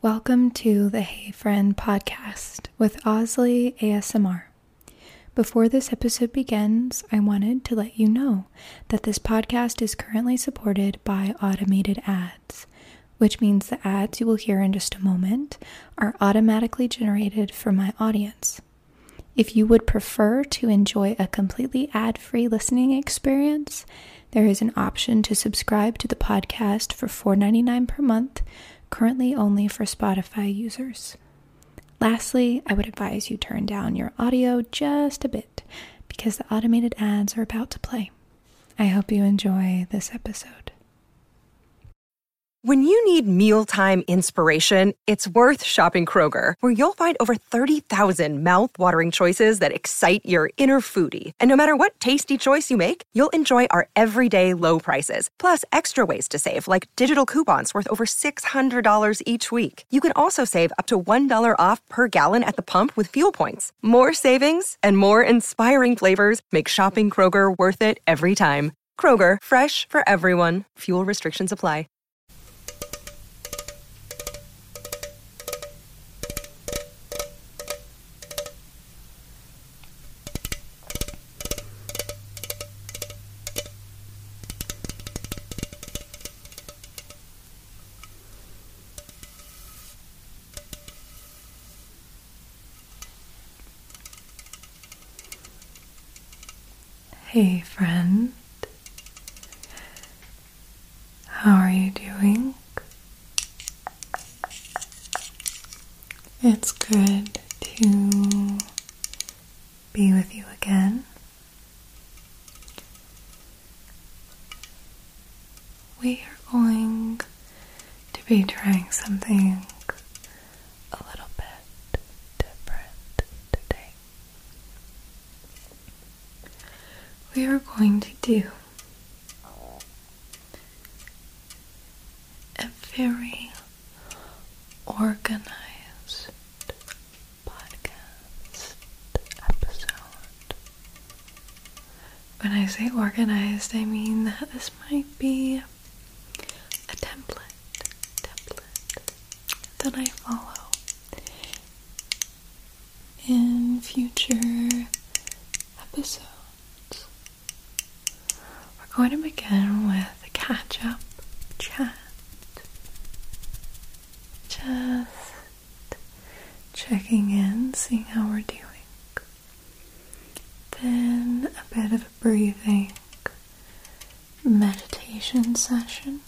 Welcome to the Hey Friend podcast with Osley ASMR. Before this episode begins, I wanted to let you know that this podcast is currently supported by automated ads, which means the ads you will hear in just a moment are automatically generated for my audience. If you would prefer to enjoy a completely ad free listening experience, there is an option to subscribe to the podcast for $4.99 per month, currently only for Spotify users. Lastly, I would advise you turn down your audio just a bit because the automated ads are about to play. I hope you enjoy this episode. When you need mealtime inspiration, it's worth shopping Kroger, where you'll find over 30,000 mouth-watering choices that excite your inner foodie. And no matter what tasty choice you make, you'll enjoy our everyday low prices, plus extra ways to save, like digital coupons worth over $600 each week. You can also save up to $1 off per gallon at the pump with fuel points. More savings and more inspiring flavors make shopping Kroger worth it every time. Kroger, fresh for everyone. Fuel restrictions apply. Hey, friend, how are you doing? It's good to be with you again. We are going to be trying something a little bit different today. We are going to do a very organized podcast episode. When I say organized, I mean that this might be a template, template that I follow in future episodes. We're going to begin with a catch up chat. Just checking in, seeing how we're doing. Then a bit of a breathing meditation session.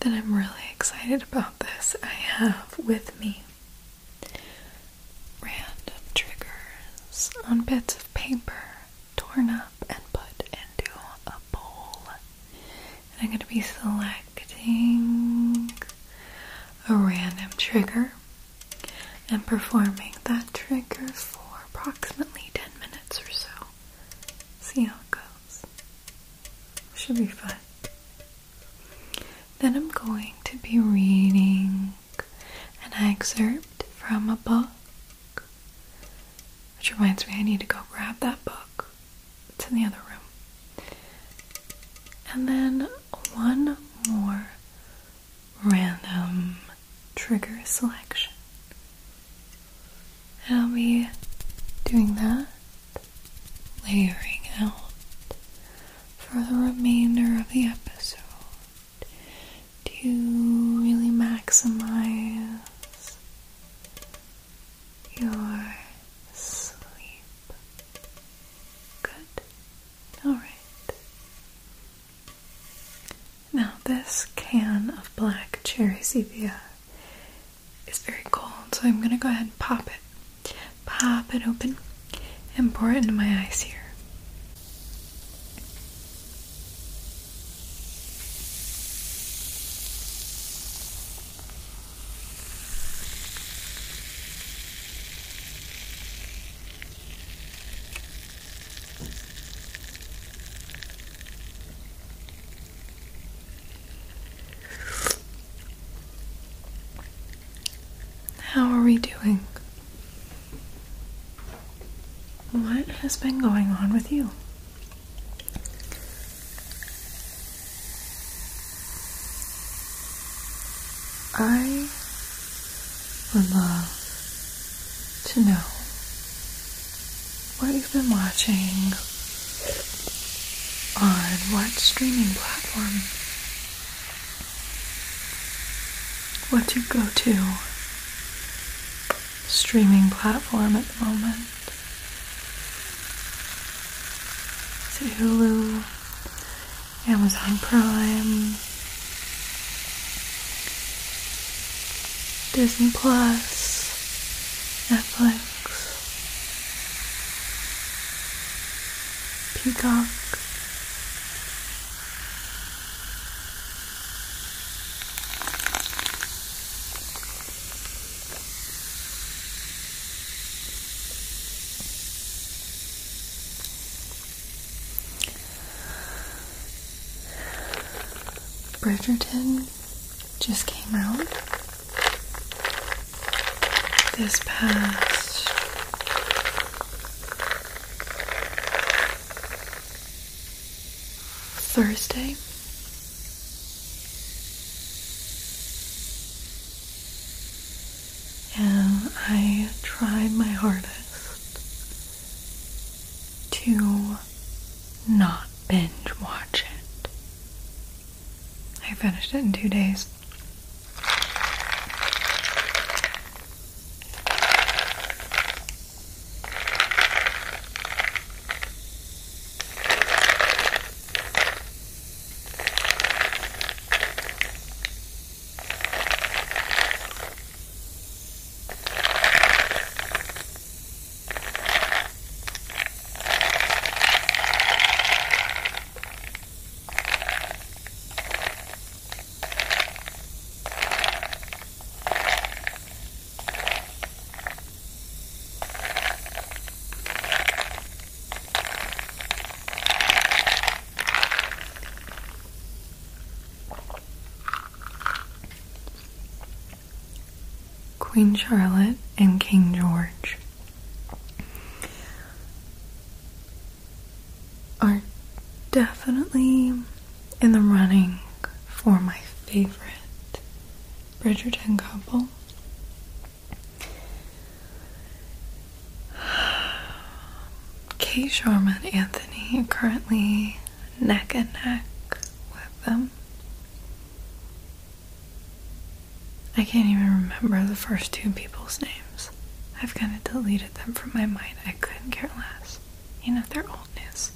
Then I'm really excited about this. I have with me random triggers on bits of paper torn up and put into a bowl. And I'm going to be selecting a random trigger and performing that trigger for approximately 10 minutes or so. See how it goes. Should be fun. Then I'm going to be reading an excerpt from a book, which reminds me I need to go grab that book. It's in the other room. And then one more random trigger selection. How are we doing that layering out for the remainder of the episode to really maximize your sleep. Good. Alright. Now, this can of black cherry sepia it's very cold, so I'm gonna go ahead and pop it. Pop it open and pour it into my eyes here. How are we doing? What has been going on with you? I would love to know what you've been watching, on what streaming platform? What's you go to streaming platform at the moment? Is Hulu? Amazon Prime? Disney Plus? Netflix? peacock. Bridgerton just came out this past Thursday. And I tried my hardest to not binge watch it. I finished it in two days. Queen Charlotte and King George are definitely in the running for my favorite Bridgerton couple. Kay Sharma and Anthony are currently neck and neck with them. I can't even remember the first two people's names. I've kind of deleted them from my mind. I couldn't care less. You know, they're old news.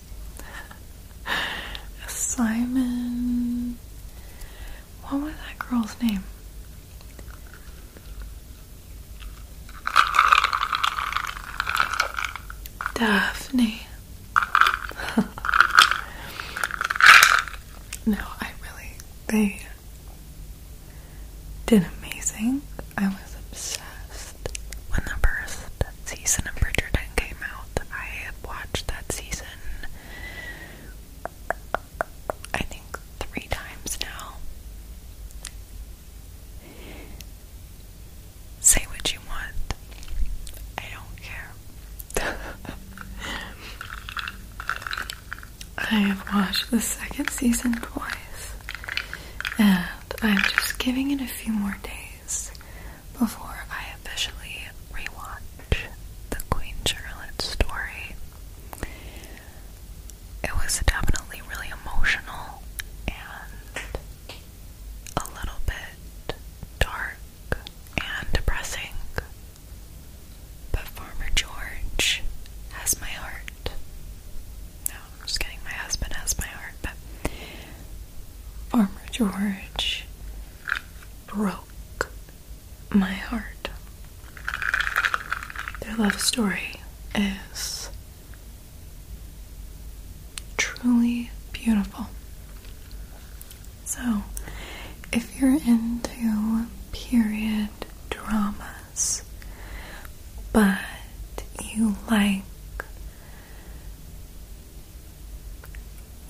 Simon. What was that girl's name? Daphne. no, I really. They did amazing. I was obsessed when the first season of Bridgerton came out. I watched that season I think three times now. Say what you want. I don't care. I have watched the second season twice, and I'm just giving it a few more days before I officially rewatch the Queen Charlotte story. It was definitely really emotional and a little bit dark and depressing. But Farmer George has my heart. No, I'm just kidding. My husband has my heart, but Farmer George broke my heart. Their love story is truly beautiful. So, if you're into period dramas, but you like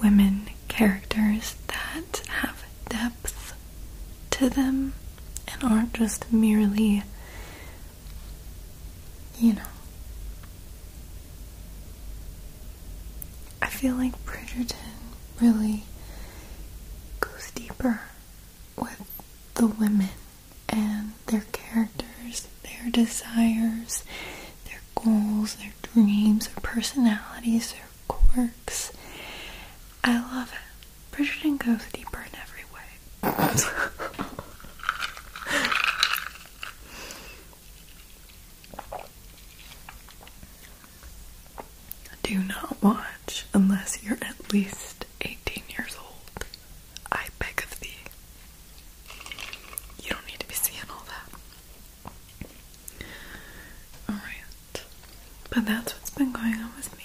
women characters that have depth to them and aren't just merely, you know. I feel like Bridgerton really goes deeper with the women and their characters, their desires, their goals, their dreams, their personalities, their quirks. I love it. Bridgerton goes deeper in every way. Do not watch unless you're at least 18 years old. I beg of thee. You don't need to be seeing all that. Alright. But that's what's been going on with me.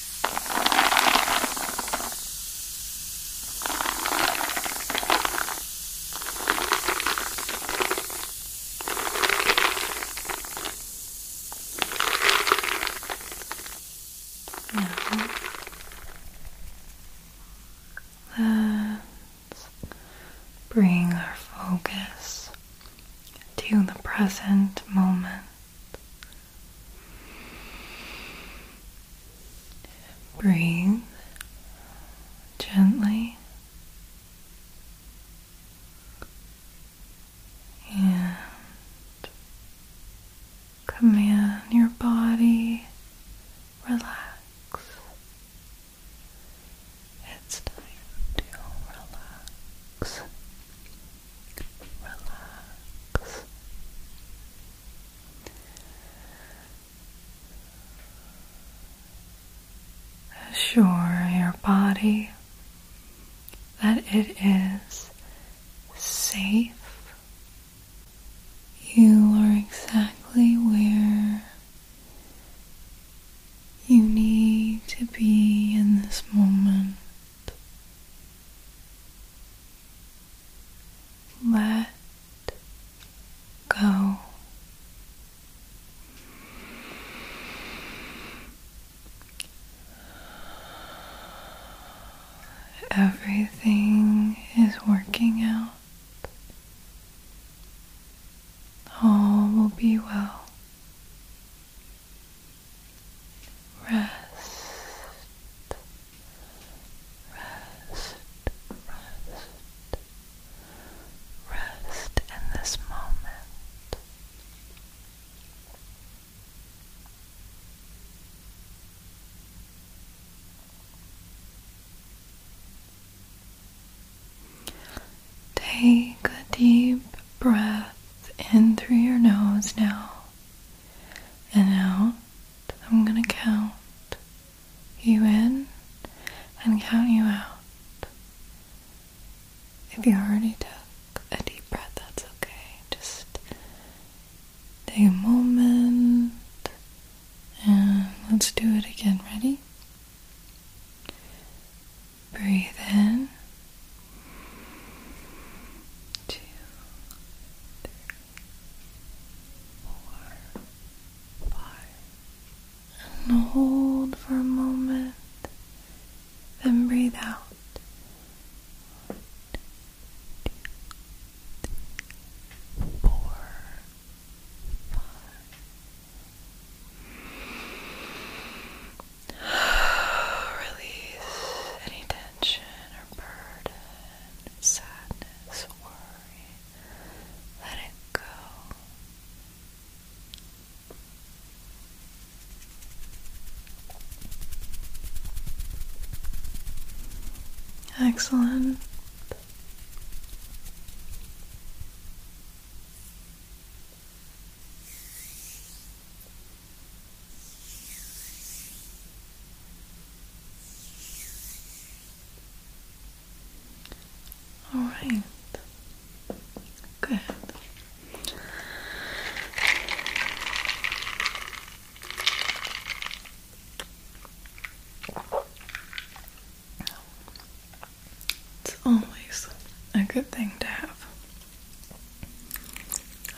Now let's bring our focus to the present moment. Breathe gently and command your body relax. It's time to relax. Relax. Assure your body that it is safe. You are exactly where you need to be in this moment let go. Everything is working out. All will be well. Rest Rest, rest, rest in this moment. Take a deep breath in through your nose now and out. I'm going to count you in and count you out. If you already took a deep breath, that's okay. Just take a moment and let's do it again. Ready? Breathe in. Two, three four, five, and hold for a moment, then breathe out. One, two, three, four, five. Release any tension or burden sadness, worry. Let it go. Excellent. All right. Good. It's always a good thing to have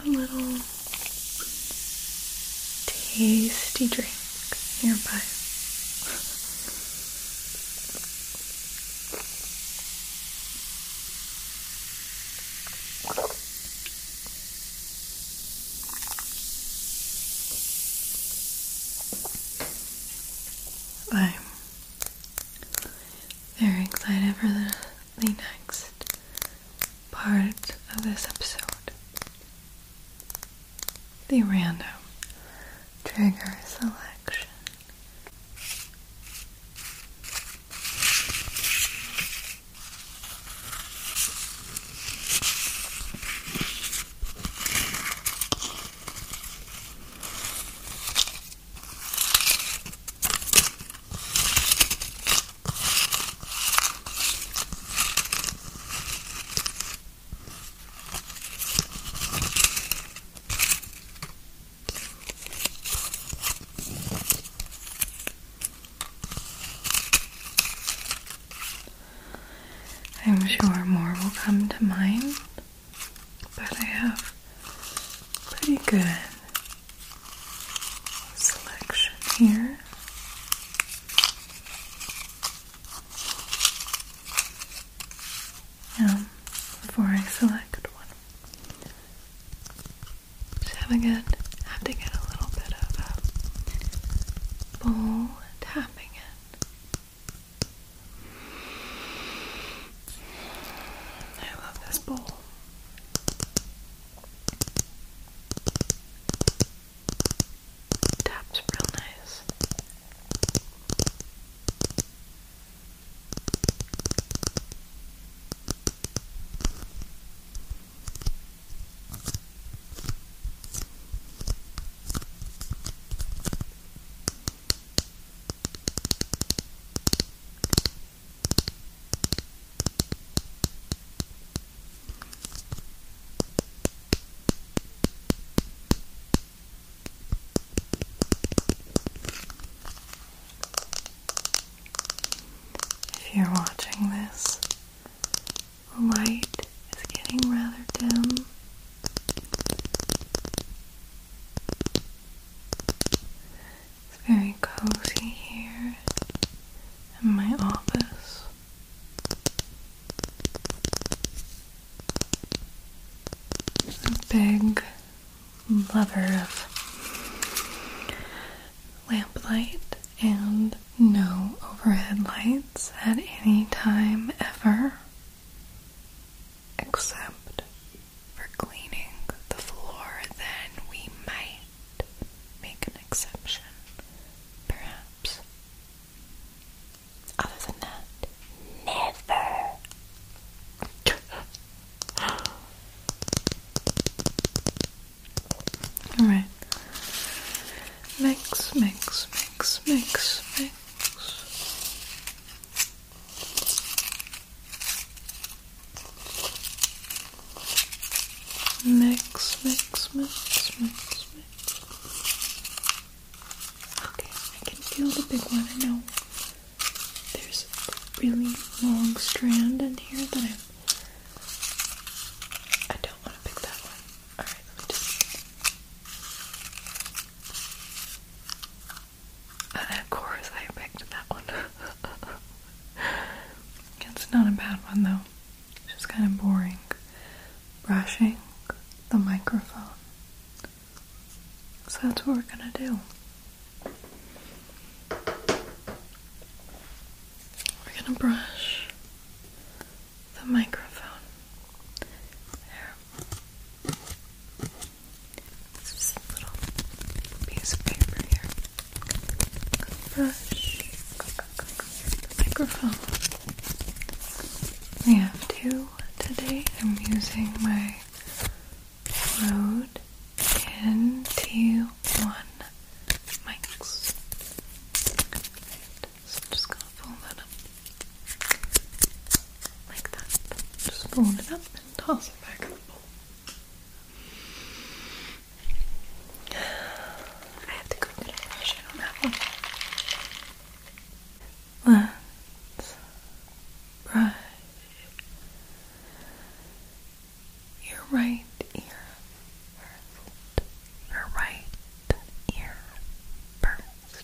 a little tasty drink nearby. I'm very excited for the next part of this episode the random trigger selection. I'm sure more will come to mind, but I have pretty good selection here. Now, um, before I select one, just having it, have to get a little bit of a bowl tapping it. I love this bowl. Taps real nice. If you're watching this, the light is getting rather dim. It's very cozy here in my office. A big lover of lamplight and no overhead lights at any time ever except for cleaning the floor then we might make an exception perhaps perhaps. Other than that, never. Alright. Mix, mix, mix, mix, mix. Mix, mix, mix, mix, mix. Okay, I can feel the big one. I know there's a really long strand in here that I'm. I don't want to pick that one. Alright, let me just. And uh, of course, I picked that one. it's not a bad one, though. It's just kind of boring. Brushing the microphone. So that's what we're gonna do. We're gonna brush the microphone. There. It's just a little piece of paper here. Brush the microphone. We have two today. I'm using my Rode NT1 mics. So I'm just gonna fold that up like that. Just fold it up and toss it back in the bowl. I have to go get a brush on that one. Let's brush your right ear Your right ear first.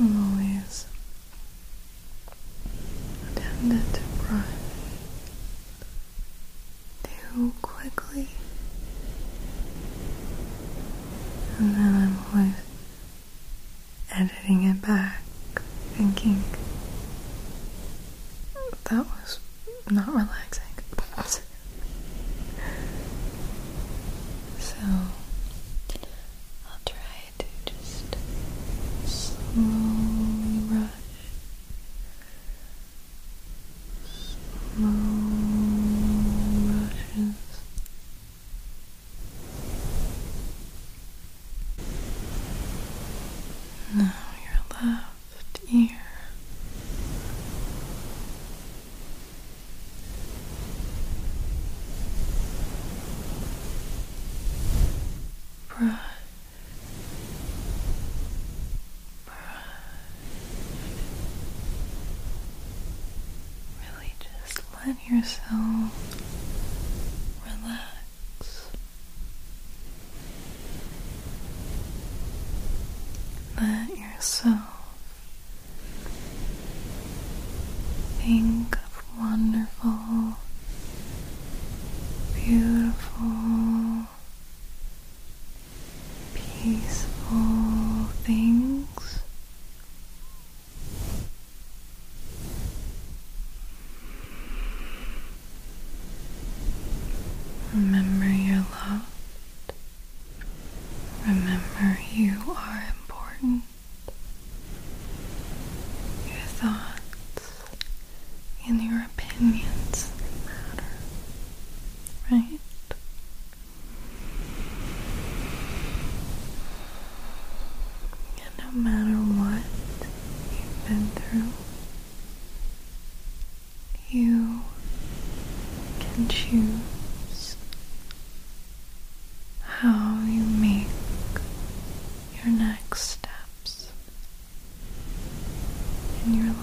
I'm always tempted to brush too quickly, and then I'm always editing it back, thinking that was not relaxing. so I'll try to just slowly brush, slow brushes now your left ear. Brush, brush. Really, just yourself relax. Let yourself think of wonderful, beautiful, peaceful things Remember your love. Remember you are important. Your thoughts and your opinions matter, right? no matter what you've been through, you can choose how you make your next steps in your life.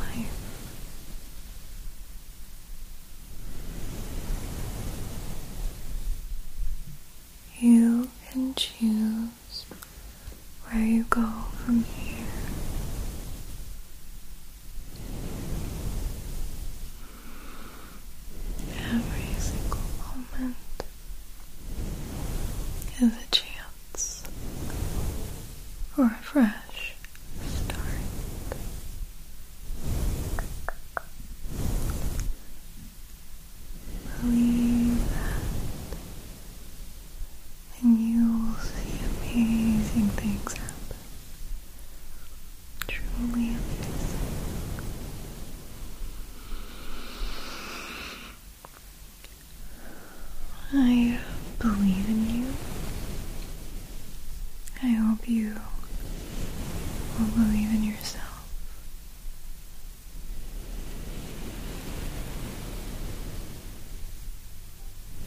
You can choose where you go from here. Every single moment is a chance for a fresh start. Believe and you will see amazing things happen. Truly amazing. I believe in you. I hope you will believe in yourself.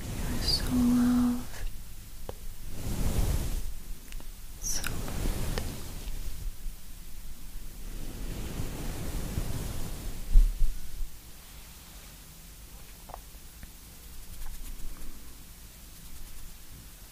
You are so loved, loved.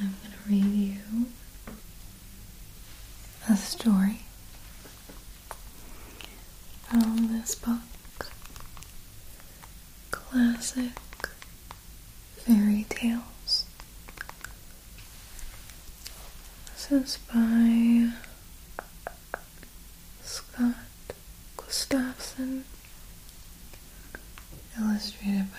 I'm going to read you a story from this book Classic Fairy Tales. This is by Scott Gustafson, illustrated by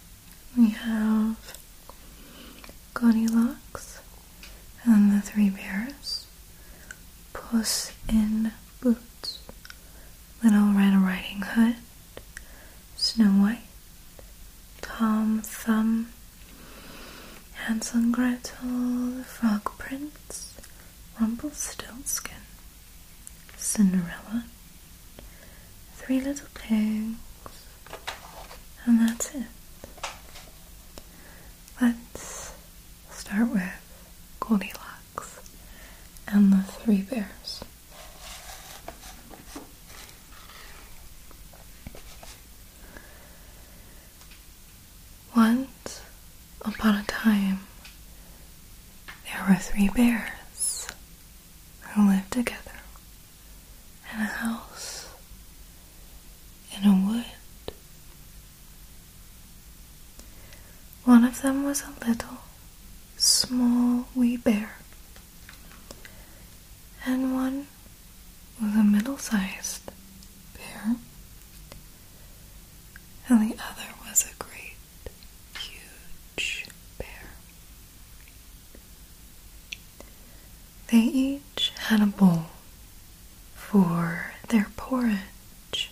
we have Goldilocks and the Three Bears, Puss in Boots, Little Red Riding Hood, Snow White, Tom Thumb, Hansel and Gretel, The Frog Prince, Rumpelstiltskin, Cinderella, Three Little Pigs, and that's it. Let's start with Goldilocks and the Three Bears. Once upon a time, there were three bears who lived together in a house in a wood. One of them was a little, small, wee bear, and one was a middle sized bear, and the other was a great, huge bear. They each had a bowl for their porridge,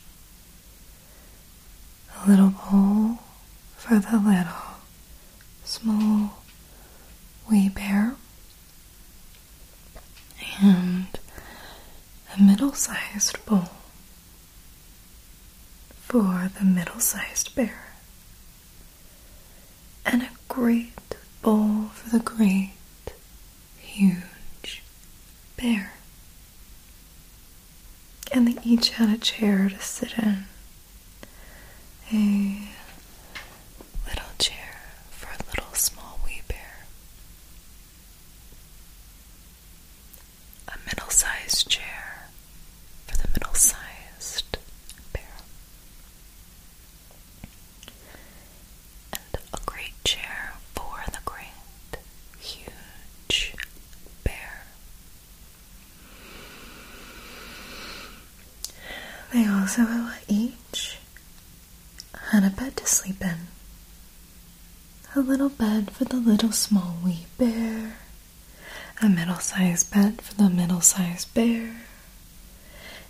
a little bowl for the little, small, wee bear, and a middle sized bowl for the middle sized bear and a great bowl for the great, huge bear. And they each had a chair to sit in. A little chair for a little small wee bear. A middle sized chair for the middle sized barrel. And a great chair for the great, huge bear. They also each had a bed to sleep in. A little bed for the little small wee bear, a middle sized bed for the middle sized bear,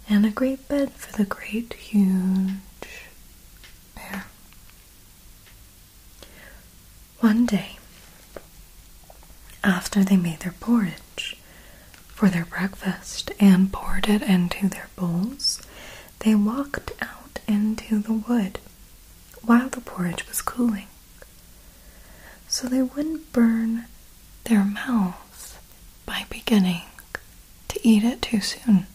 and a great bed for the great huge bear. One day, after they made their porridge for their breakfast and poured it into their bowls, they walked out into the wood while the porridge was cooling so they wouldn't burn their mouths by beginning to eat it too soon.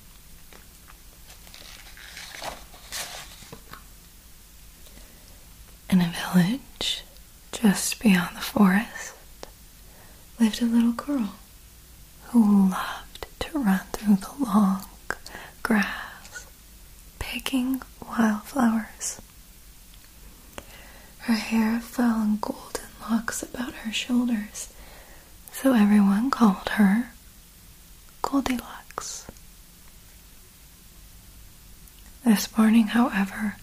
In a village just beyond the forest lived a little girl who loved to run through the long grass picking wildflowers. Her hair fell in golden locks about her shoulders, so everyone called her Goldilocks. This morning, however,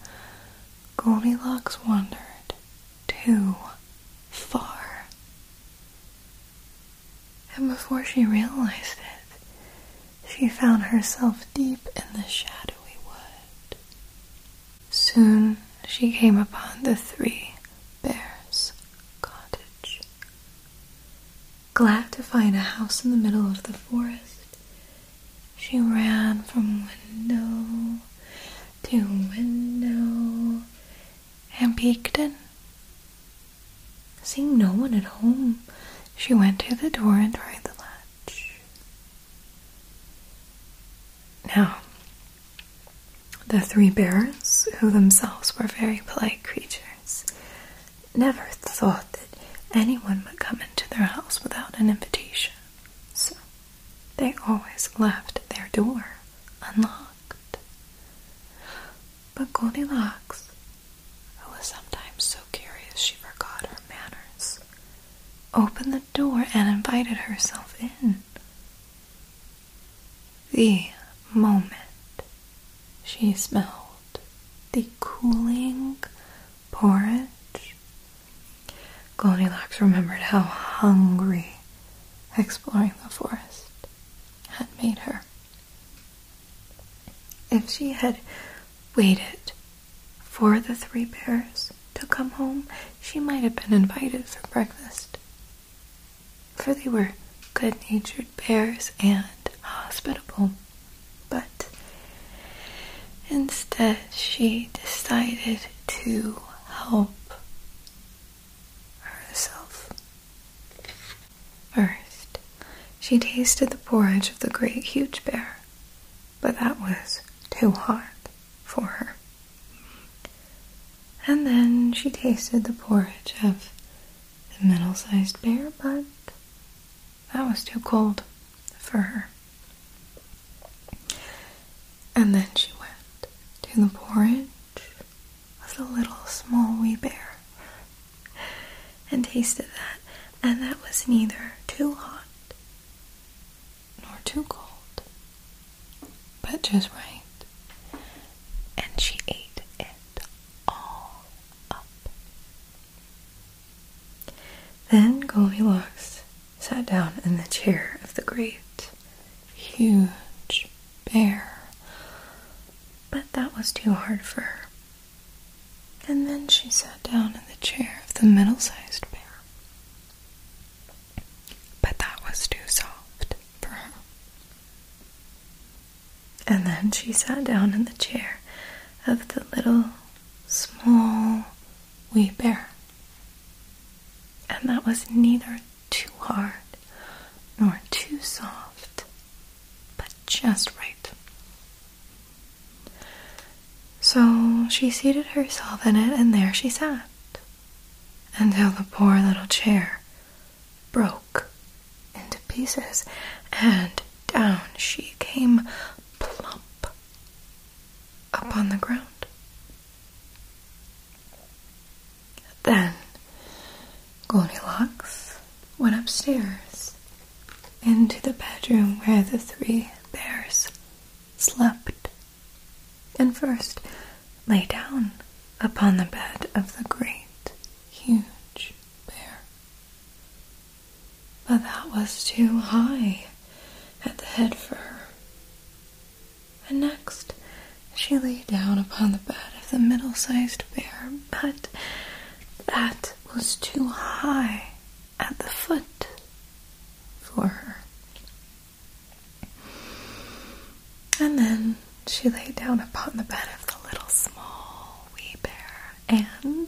Goldilocks wandered too far. And before she realized it, she found herself deep in the shadowy wood. Soon she came upon the three bears' cottage. Glad to find a house in the middle of the forest, she ran from window to window and peeked in. Seeing no one at home, she went to the door and tried the latch. Now, the three bears, who themselves were very polite creatures, never thought that anyone would come into their house without an invitation, so they always left their door unlocked. But Goldilocks who was sometimes so curious she forgot her manners, opened the door and invited herself in. The moment she smelled the cooling porridge, Goldilocks remembered how hungry exploring the forest had made her. If she had waited for the three bears to come home, she might have been invited for breakfast. For they were good natured bears and hospitable. But instead, she decided to help herself. First, she tasted the porridge of the great huge bear but that was too hot for her. And then she tasted the porridge of the middle sized bear, but that was too cold for her. And then she went to the porridge of the little small wee bear and tasted that, and that was neither too hot nor too cold, but just right. And she ate it all up. Then Goldilocks sat down in the chair of the great, huge bear, but that was too hard for her. And then she sat down in the chair of the middle sized bear. But that was too soft for And then she sat down in the chair of the little, small, wee bear. And that was neither too hard nor too soft, but just right. So she seated herself in it, and there she sat until the poor little chair broke into pieces, and down she came plump upon the ground. Then Goldilocks went upstairs into the bedroom where the three bears slept, and first lay down upon the bed of the great, huge bear. But that was too high at the head fur. And next, she lay down upon the bed of the middle sized bear, but that was too high at the foot for her. And then she lay down upon the bed of the little small wee bear, and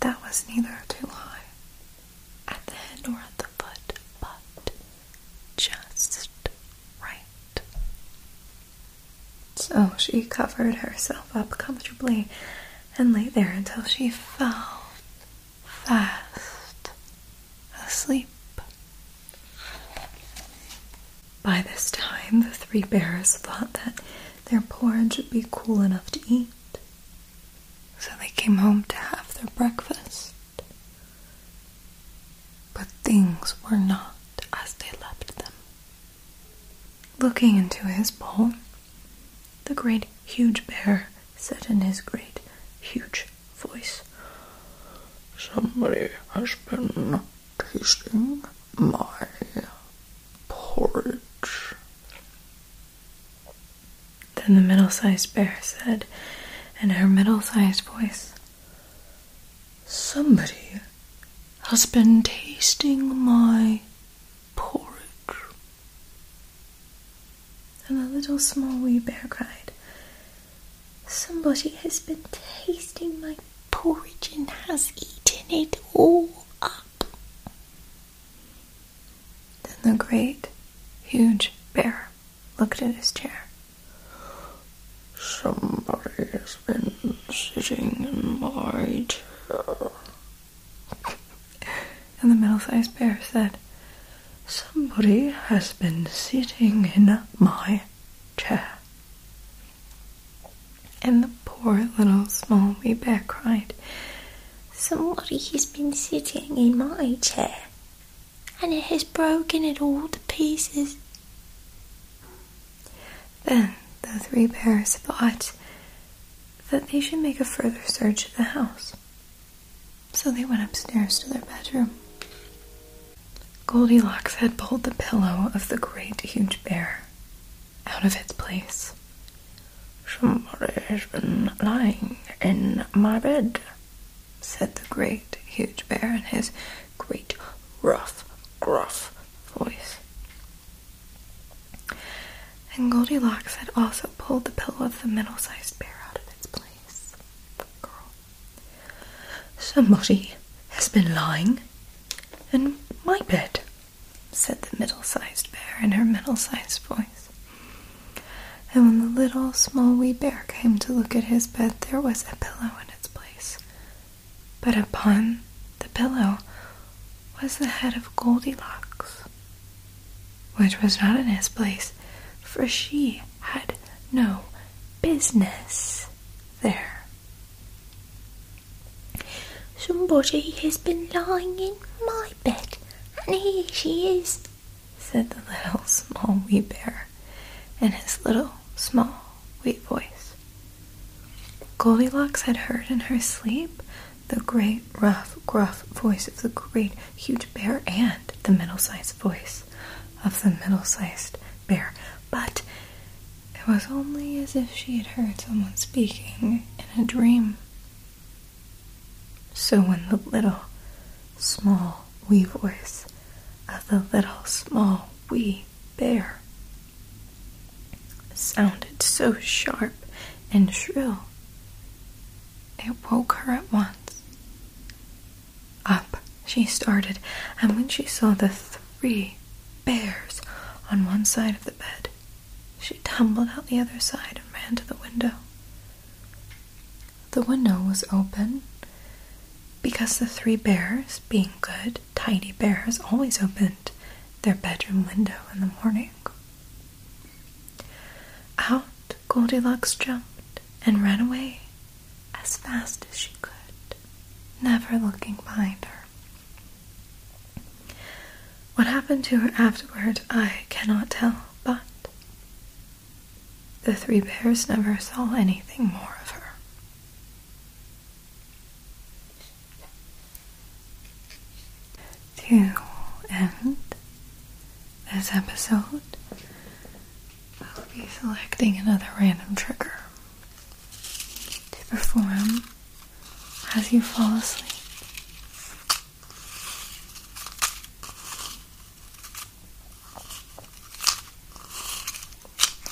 that was neither too high at the head nor at the foot, but just right. So she covered herself up comfortably and lay there until she fell fast asleep. By this time, the three bears thought that their porridge would be cool enough to eat, so they came home to have their breakfast. But things were not as they left them. Looking into his bowl, the great huge bear said in his great huge voice, Somebody has been tasting my porridge. Then the middle sized bear said in her middle sized voice, Somebody has been tasting my porridge. And the little small wee bear cried, Somebody has been tasting my porridge and has eaten it all up. Then the great, huge bear looked at his chair. Somebody has been sitting in my chair, and the middle-sized bear said, Somebody has been sitting in my chair. And the poor little small wee bear cried, Somebody has been sitting in my chair, and it has broken it all to pieces. Then the three bears thought, that they should make a further search of the house. So they went upstairs to their bedroom. Goldilocks had pulled the pillow of the great huge bear out of its place. Somebody has been lying in my bed, said the great huge bear in his great rough, gruff voice. And Goldilocks had also pulled the pillow of the middle sized bear out of its place. Somebody has been lying in my bed, said the middle sized bear in her middle sized voice. And when the little small wee bear came to look at his bed, there was a pillow in its place. But upon the pillow was the head of Goldilocks, which was not in his place, for she had no business there. Somebody has been lying in my bed, and here she is, said the little small wee bear in his little small wee voice. Goldilocks had heard in her sleep the great, rough, gruff voice of the great, huge bear and the middle sized voice of the middle sized bear. But it was only as if she had heard someone speaking in a dream. So when the little, small, wee voice of the little, small, wee bear sounded so sharp and shrill it woke her at once. Up she started, and when she saw the three bears on one side of the bed, she tumbled out the other side and ran to the window. The window was open because the three bears, being good, tidy bears, always opened their bedroom window in the morning. Out Goldilocks jumped and ran away as fast as she could, never looking behind her. What happened to her afterward, I cannot tell, but the three bears never saw anything more of her. To end this episode, I'll be selecting another random trigger to perform as you fall asleep.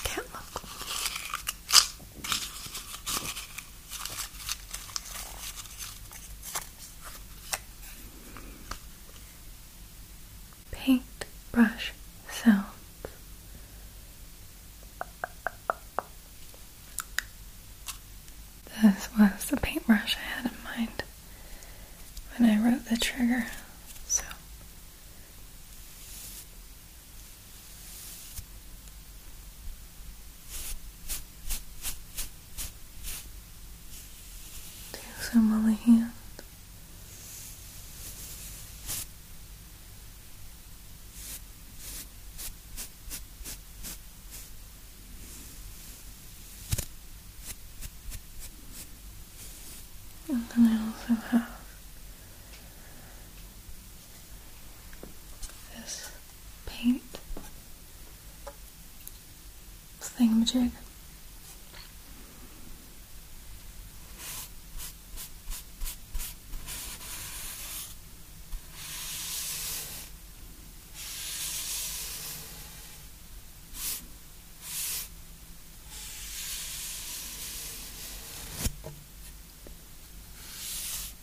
Can't look. Paintbrush sounds. This was the paintbrush I had in mind when I wrote the trigger. So Take some on hand. And then I also have this paint thingamajig.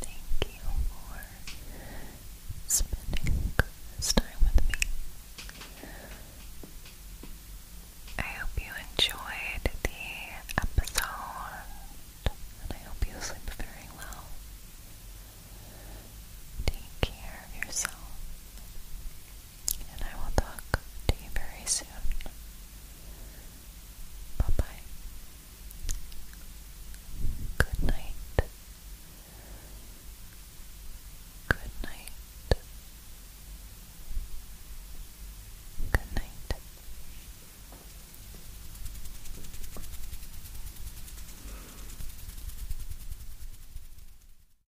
Thank you for spending time with me. I hope you enjoyed the episode, and I hope you sleep very well. Take care of yourself and I will talk to you very soon. Bye bye. Good night. Good night. Good night.